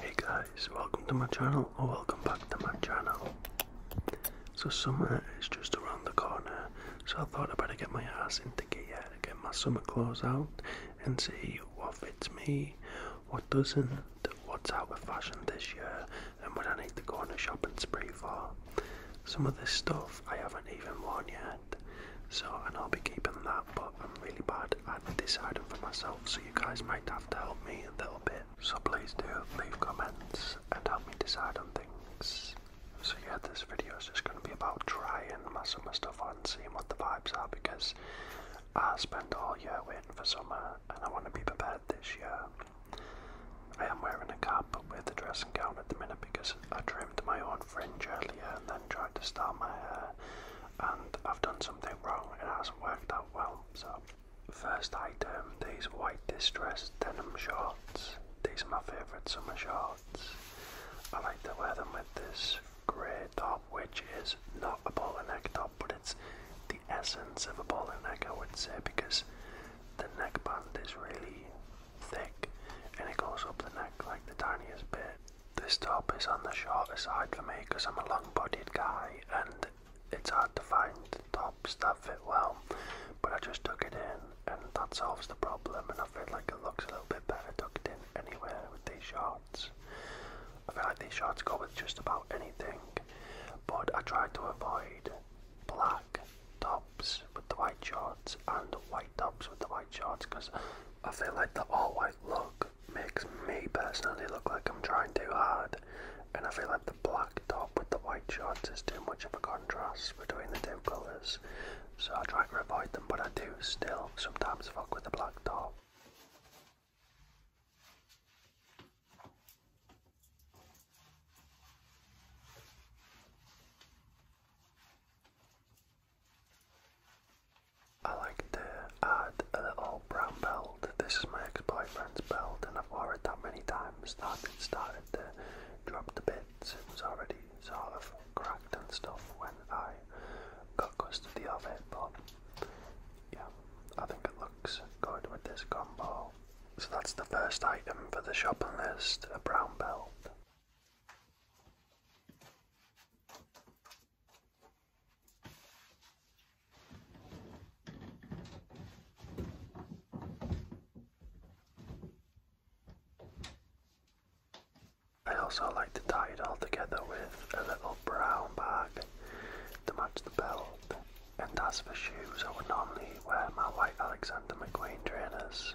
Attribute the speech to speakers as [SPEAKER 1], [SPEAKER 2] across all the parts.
[SPEAKER 1] Hey guys, welcome to my channel or welcome back to my channel. So summer is just around the corner, so I thought I would better get my ass into gear, get my summer clothes out and see what fits me, what doesn't, what's out of fashion this year and what I need to go on a shopping spree for. Some of this stuff I haven't even worn yet so, and I'll be keeping that, but I'm really bad at deciding for myself, so you guys might have to help me a little bit. So please do leave comments and help me decide on things. So yeah, this video is just going to be about trying my summer stuff on, seeing what the vibes are, because I spent all year waiting for summer, and I want to be prepared this year. I am wearing a cap with a dressing gown at the minute because I trimmed my own fringe earlier and then and to style my hair and I've done something wrong it hasn't worked out well. So first item, these white distressed denim shorts. These are my favourite summer shorts. I like to wear them with this grey top which is not a bowler neck top but it's the essence of a bowler neck I would say because the neckband is really thick and it goes up the neck like the tiniest bit this top is on the shorter side
[SPEAKER 2] for me because I'm a long bodied guy and it's hard to find tops that fit
[SPEAKER 1] well. But I just took it in and that solves the problem and I feel like it looks a little bit better tucked in anywhere with these shorts. I feel like these shorts go with just about
[SPEAKER 2] anything. But I try to avoid black tops
[SPEAKER 1] with the white shorts and white tops with the white shorts because I feel like the all-white look makes me personally look like I'm trying too hard, and I feel like the black top with the white shorts is too much of a contrast between the two colours, so I try to avoid them, but I do still sometimes fuck with the black top. I like to add a little brown belt. This is my ex-boyfriend's belt and I've worn it that many times that it started to drop the bits. It was already sort of cracked and stuff when I got custody of it, but yeah, I think it looks good with this combo. So that's the first item for the shopping list, a brown belt. I also like to tie it all together with a little brown bag to match the belt. And as for shoes, I would normally wear my white Alexander McQueen trainers.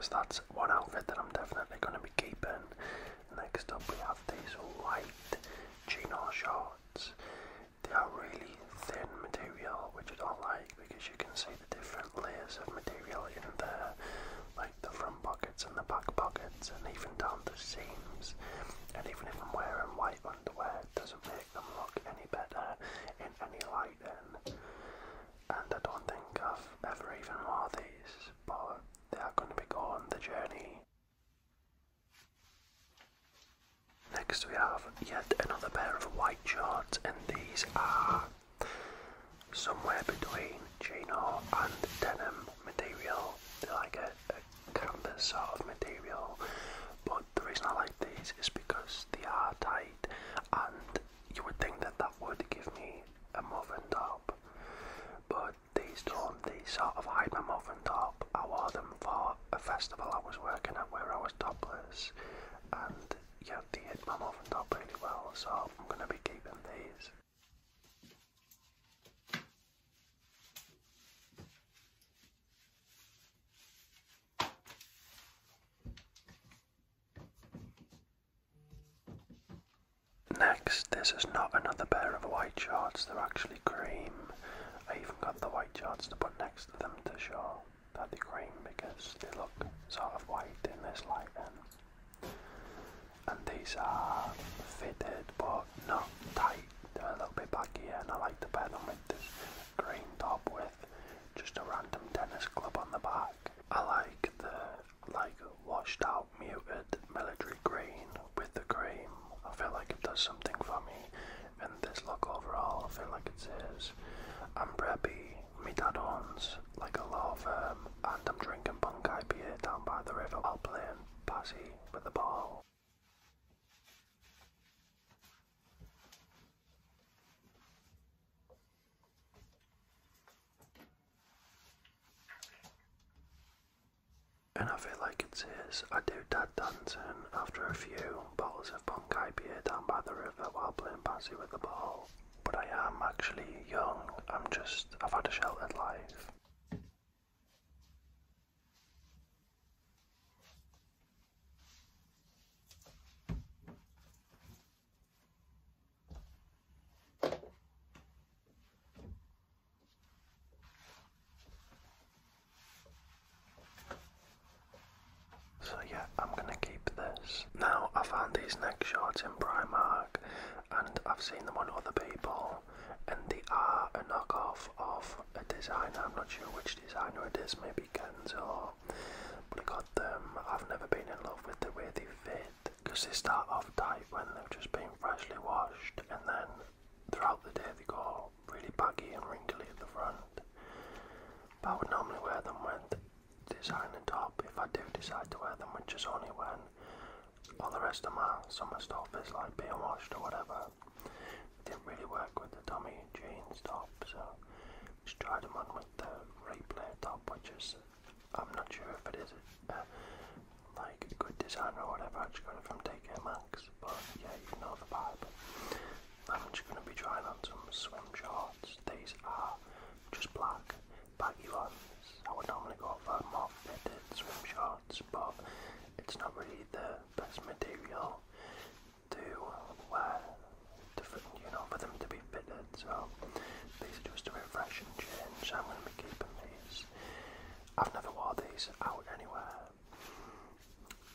[SPEAKER 2] So that's one outfit that I'm definitely going to be keeping. Next up we have these white chino shorts. They are really thin material which I don't like
[SPEAKER 1] because you can see the different layers of material in there. Like the front pockets and the back pockets and even down the seams. And even if I'm wearing white underwear it doesn't make them look any better in any light. And I don't think I've ever even wore these,
[SPEAKER 2] but they are going to be going the journey. Next we have yet another pair
[SPEAKER 1] of white shorts and these are somewhere between chino and denim material. They're like a, a canvas sort of material. But the reason I like these is because they are tight and you would think that that would give me a muffin top but these don't, they sort of hide my muffin top. I wore them for a festival I was working at where I was topless and yeah they hid my muffin top really well so I'm going to be keeping these. Next, this is not another pair of white shorts, they're actually cream. I even got the white shorts to put next to them to show that they're cream because they look sort of white in this light. Um, and these are fitted but not tight, they're a little bit baggy and I like to pair them with this green top with just a random tennis club on the back. I like the like washed out muted military green with the green. I feel like it does something for me. And this look overall, I feel like it says, I'm preppy, me dad owns like a law firm, and I'm drinking punk IPA down by the river while playing passy with the ball. And I feel like it's I do dad dancing after a few bottles of Bonkai beer down by the river while playing Patsy with the ball. But I am actually young. I'm just, I've had a sheltered life. So yeah, I'm gonna keep this. Now I found these neck shorts in Primark and I've seen them on other people and they are a knockoff of a designer. I'm not sure which designer it is, maybe Kenzo. But I got them. I've never been in love with the way they fit because they start off tight when they've just been freshly washed, and then throughout the day they go
[SPEAKER 2] really baggy and wrinkly at the front. But I would normally wear them with designer top if I do decide to wear them, which
[SPEAKER 1] is only when all the rest of my summer stuff is like being washed or whatever didn't really work with the Tommy Jeans top, so tried them on with the Ray top, which is, I'm not sure if it is a, uh, like a good design or whatever, I got it from TK Maxx, but yeah, you know the vibe. I'm just going to be trying on some swim shorts, these are just black baggy ones. I would normally go for more fitted swim shorts, but it's not really the best material to wear you know, for them to be fitted. So basically just to refresh and change. I'm going to be keeping these. I've never wore these out anywhere.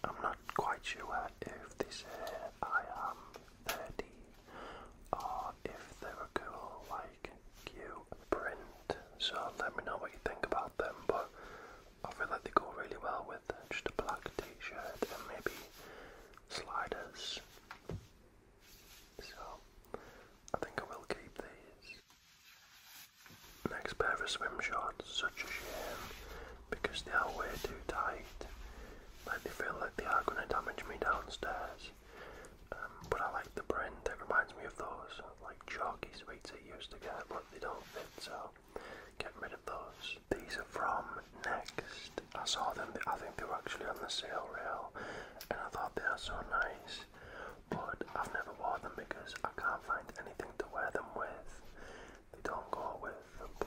[SPEAKER 1] I'm not quite sure if they say I am 30 or if they're cool, like, cute print. So let me know what you think about them. But I feel like they go really well with just a black t-shirt and maybe sliders. So, I think I will keep these. Next pair of swim shorts, such a shame because they are way too tight. Like they feel like they are going to damage me downstairs. Um, but I like the brand, it reminds me of those like chalky sweets used to get, but they don't fit, so get rid of those. These are from Next. I saw them, I think they were actually on the sale rail, and I thought they are so nice. But I've never worn them because I can't find anything to wear them with. They don't go with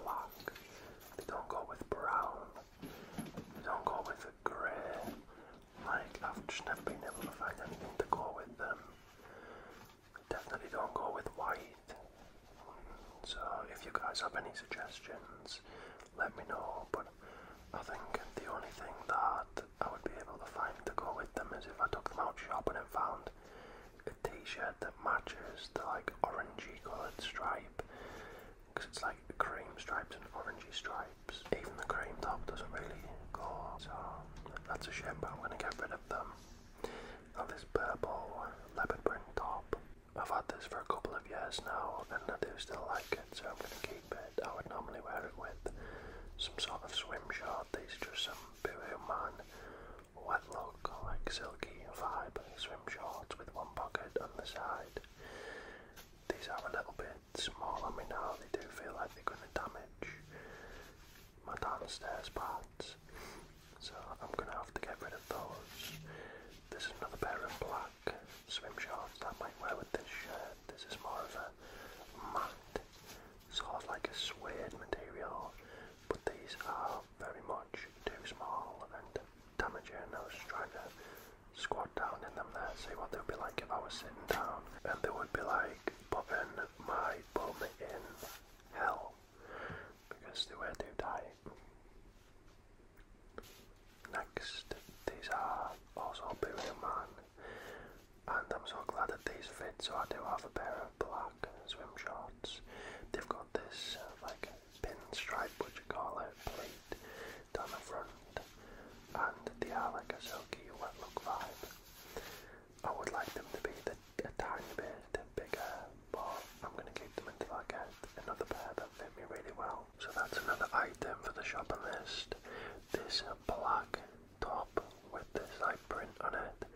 [SPEAKER 1] black, they don't go with brown, they don't go with grey. Like, I've just never been able to find anything to go with them definitely don't go with white. So if you guys have any suggestions, let me know. But I think the only thing that I would be able to find to go with them is if I took them out shopping and found a t-shirt that matches the like orangey coloured stripe because it's like cream stripes and orangey stripes. Even the cream top doesn't really go, so that's a shame. But I'm gonna get rid of them this purple leopard print top, I've had this for a couple of years now and I do still like it so I'm going to keep it. I would normally wear it with some sort of swim short, these are just some Boohoo Man wet look, like silky vibe swim shorts with one pocket on the side. These are a little bit small on me now, they do feel like they're going to damage my downstairs pants, So I'm going to have to get rid of those.
[SPEAKER 2] This is another pair of black swim shorts that might wear with this shirt. This is
[SPEAKER 1] more of a mat, sort of like a suede material, but these are very much too small and damaging. I was trying to squat down in them there, see what they would be like if I was sitting down. And they would be like putting my bum in hell because they were too tight. Next, these are also Buddha Man, and I'm so glad that these fit. So I do have a pair of black swim shorts. They've got this uh, pin stripe, which you call a plate down the front, and the are like a silky wet look vibe. I would like them to be a tiny bit bigger, but I'm going to keep them until I get another pair that fit me really well. So that's another item for the shopping list. This black top with this like print on it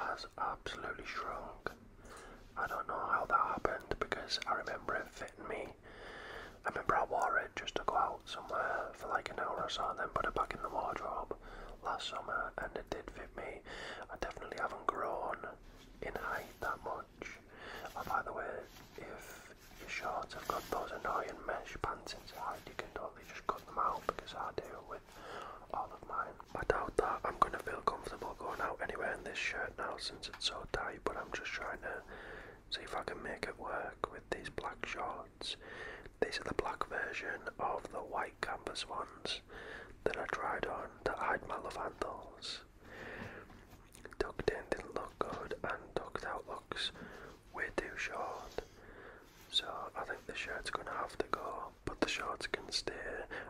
[SPEAKER 1] has absolutely shrunk. I don't know how that happened because I remember it fitting me. I remember I wore it just to go out somewhere for like an hour or so and then put it back in the wardrobe last summer and it did fit me. I definitely haven't grown in height that much. Uh, by the way, if your shorts have got those annoying mesh pants inside, you can totally just cut them out because I do with all of mine. I doubt that I'm going to feel comfortable going out anywhere in this shirt now since it's so tight, but I'm just trying to see if I can make it work with these black shorts. These are the black version of the white canvas one ones that I tried on hide my love Malafantals. Tucked in didn't look good and tucked out looks way too short. So I think the shirt's gonna have to go, but the shorts can stay.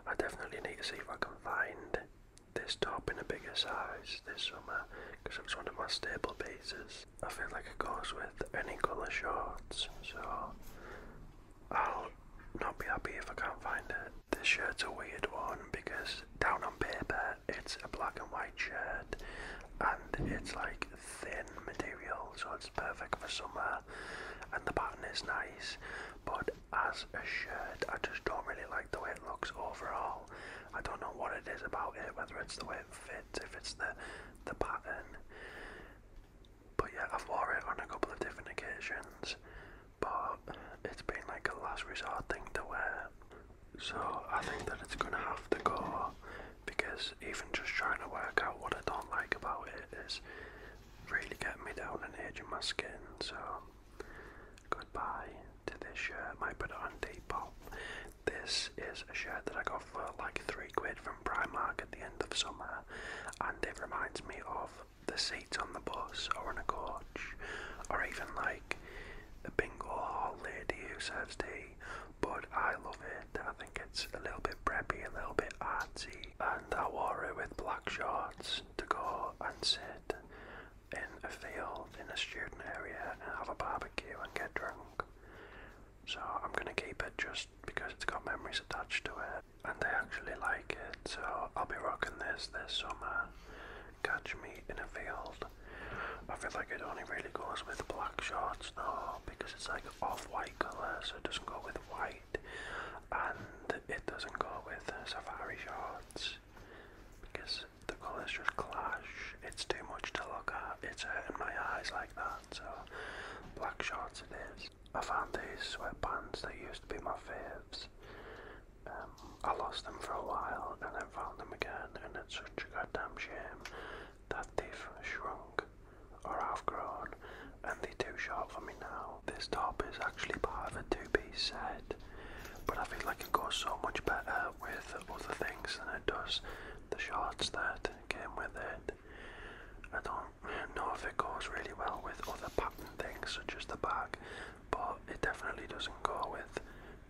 [SPEAKER 1] I definitely need to see if I can find this top in a bigger size this summer because it's one of my staple pieces. I feel like it goes with any colour shorts, so I'll not be happy if I can't find it. This shirt's a weird one because down on paper it's a black and white shirt and it's like thin material so it's perfect for summer and the pattern is nice but as a shirt I just don't really like the way it looks overall. I don't know what it is about it, whether it's the way it fits, if it's the the pattern. But yeah, I've worn it on a couple of different occasions, but it's been like a last resort thing to wear. So I think that it's gonna have to go because even just trying to work out what I don't like about it is really getting me down and aging my skin. So goodbye to this shirt. Might put it on Depop. This is a shirt that I got for like three quid from Primark at the end of summer and it reminds me of the seats on the bus or on a coach, or even like the bingo hall lady who serves tea. But I love it. I think it's a little bit preppy, a little bit artsy, and I wore it with black shorts to go and sit in a field in a student area and have a barbecue and get drunk. So I'm gonna keep it just because it's got memories attached to it and they actually like it. So I'll be rocking this this summer. Catch me in a field. I feel like it only really goes with black shorts though because it's like off-white colour so it doesn't go with white and it doesn't go with safari shorts because the colours just clash. It's too much to look at. It's hurting my eyes like that. So black shorts it is. I found these sweatpants They used to be my faves. Um, I lost them for a while and then found them again and it's such a goddamn shame that they've shrunk or half grown and they're too short for me now. This top is actually part of a two-piece set but I feel like it goes so much better with other things than it does the shorts that came with it. I don't know if it goes really well with other pattern things such as the bag, but it definitely doesn't go with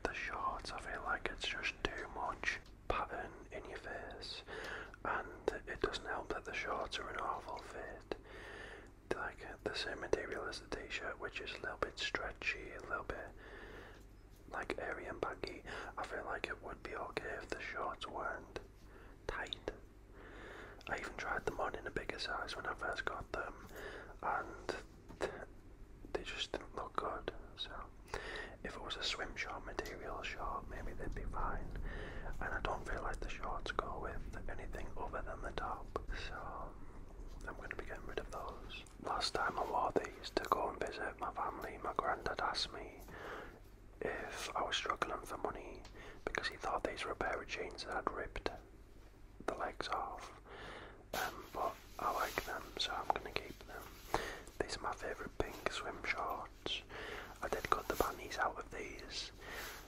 [SPEAKER 1] the shorts. I feel like it's just too much pattern in your face, and it doesn't help that the shorts are an awful fit. Like the same material as the t-shirt, which is a little bit stretchy, a little bit like airy and baggy. I feel like it would be okay if the shorts weren't tight, I even tried them on in a bigger size when I first got them, and they just didn't look good. So, if it was a swim short material short, maybe they'd be fine. And I don't feel like the shorts go with anything other than the top, so I'm going to be getting rid of those. Last time I wore these to go and visit my family, my granddad asked me if I was struggling for money because he thought these were a pair of jeans that had ripped the legs off. Um, but I like them, so I'm gonna keep them. These are my favourite pink swim shorts. I did cut the panties out of these,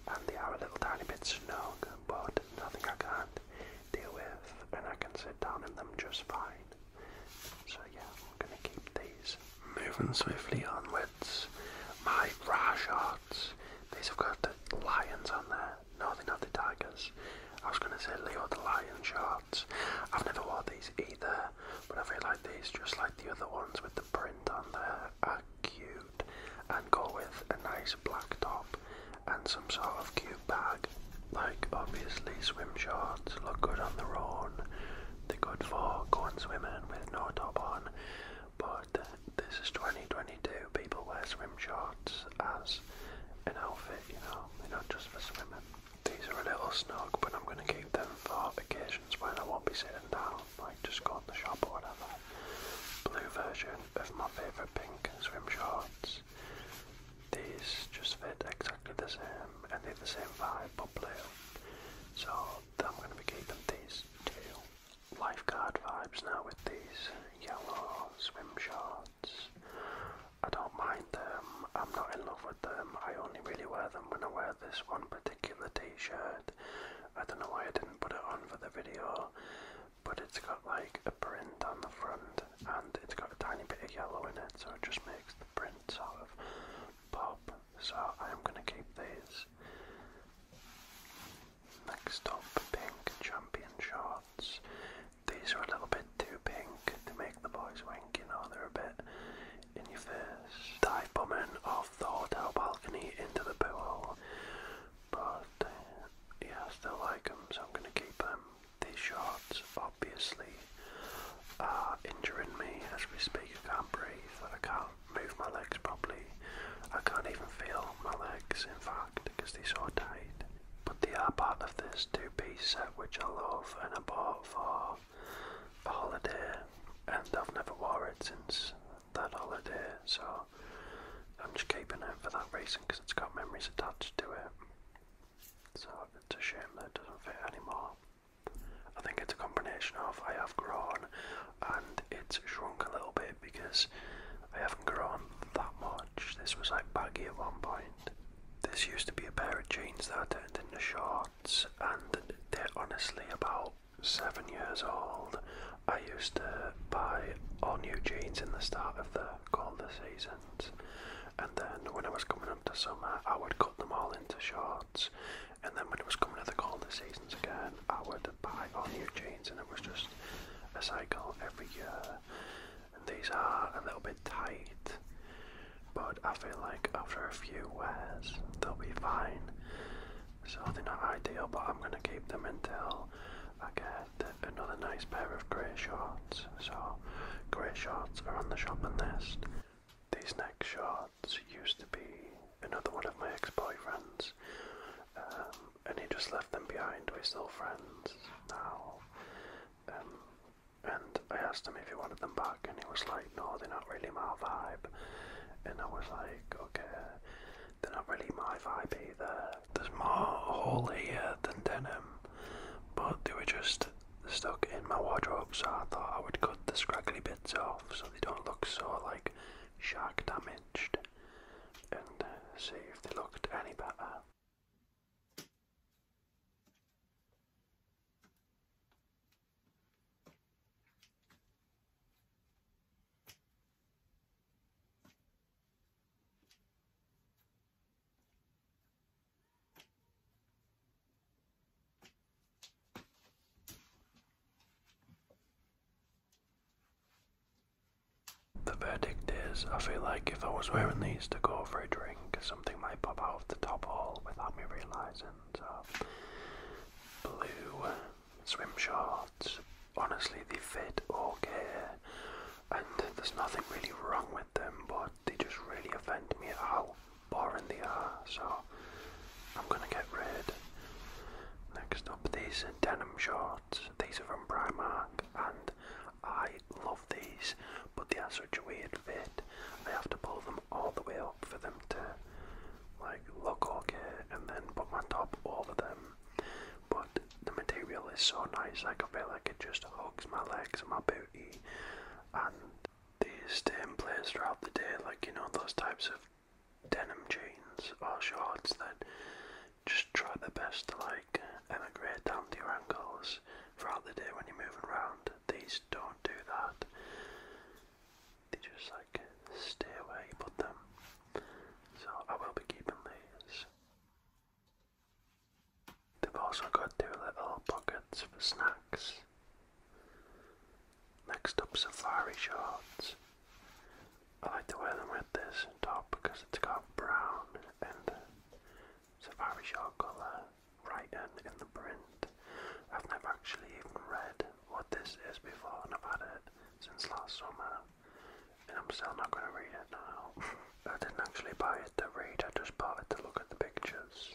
[SPEAKER 1] and they are a little tiny bit snug, but nothing I can't deal with, and I can sit down in them just fine. So yeah, we're going to keep these moving swiftly onwards. My rash These have got the lions on there. No, they're not the tigers. I was going to say Leo the lion shorts. I've never worn these either, but I feel like these, just like the other ones with the print on there, are cute and go with a nice black top and some sort of cute bag. Like obviously swim shorts look good on their own, the good for going swimming with no top on, but this is 2022. People wear swim shorts as an outfit, you know, they're not just for swimming. These are a little snug, but I'm going to keep them for occasions when I won't be sitting down, like just go in the shop or whatever. Blue version of my favourite pink swim shorts. These just fit exactly the same and they're the same vibe but blue. So I'm going to be keeping these two lifeguard vibes now with these yellow swim shorts. I don't mind them, I'm not in love with them, I only really wear them when I wear this one particular t-shirt. I don't know why I didn't put it on for the video, but it's got like a print on the front and it's got a tiny bit of yellow in it so it just makes the print sort of pop, so I'm gonna keep these. Next up, pink champion shorts. These are a little bit too pink to make the boys wink, you know, they're a bit in your face. Dive bombing off the hotel balcony into the pool. But uh, yeah, I still like them, so I'm gonna keep them. These shorts, obviously, injuring me as we speak. I can't breathe. I can't move my legs properly. I can't even feel my legs, in fact, because they're so tight. But they are part of this two-piece set which I love and I bought for a holiday, and I've never worn it
[SPEAKER 2] since that holiday. So I'm just keeping it for that reason because it's got
[SPEAKER 1] memories attached to it. So it's a shame that it doesn't fit anymore. I think it's a combination of I have grown and it's shrunk a little bit because I haven't grown that much. This was like baggy at one point. This used to be a pair of jeans that I turned into shorts and they're honestly about seven years old. I used to buy all new jeans in the start of the colder seasons and then when I was coming up to summer, I would cut them all into shorts, and then when it was coming to the colder seasons again, I would buy all new jeans, and it was just a cycle every year. And these are a little bit tight, but I feel like after a few wears,
[SPEAKER 2] they'll be fine. So they're not ideal, but I'm gonna keep them until I get another nice pair of grey shorts. So grey shorts are on the shopping list. These next shorts used to be another one of my
[SPEAKER 1] ex-boyfriends, um, and he just left them behind. We're still friends now. Um, and I asked him if he wanted them back, and he was like, "No, they're not really my vibe." And I was like, "Okay, they're not really my vibe either. There's more hole here than denim." But they were just stuck in my wardrobe, so I thought I would cut the scraggly bits off so they don't look so like shark damaged and uh, see if they looked any better. The verdict is, I feel like if I was wearing these to go for a drink, something might pop out of the top hole without me realising. So, blue swim shorts, honestly they fit okay, and there's nothing really wrong with them, but they just really offend me how boring the are, so I'm gonna get rid. Next up, these denim shorts. These are from Primark, and I love these, but they are such a weird fit. I have to pull them all the way up for them to like look okay, and then put my top over them. But the material is so nice, like I feel like it just hugs my legs and my booty, and these stay in place throughout the day, like you know, those types of denim jeans or shorts that just try their best to like emigrate down to your ankles throughout the day when you're moving around. These don't do that. They just like stay where you put them. So I will be keeping these. They've also got their little pockets for snacks. Next up, safari shorts. I like to wear them with this top because it's got brown and safari short colour writing in the print. I've never actually even read what this is before and I've had it since last summer and I'm still not going to read it now. I didn't actually buy it to read, I just bought it to look at the pictures.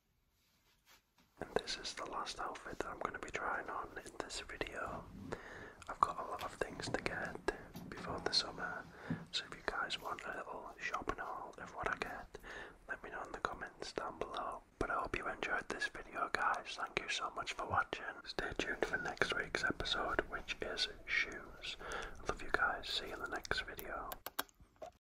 [SPEAKER 1] And this is the last outfit that I'm going to be trying on in this video. I've got a lot of things to get before the summer, so if you guys want a little shopping haul of what I get, let me know in the comments down below. But I hope you enjoyed this video, guys. Thank you so much for watching. Stay tuned for next
[SPEAKER 2] week's episode, which is shoes. I love you guys. See you in the next video.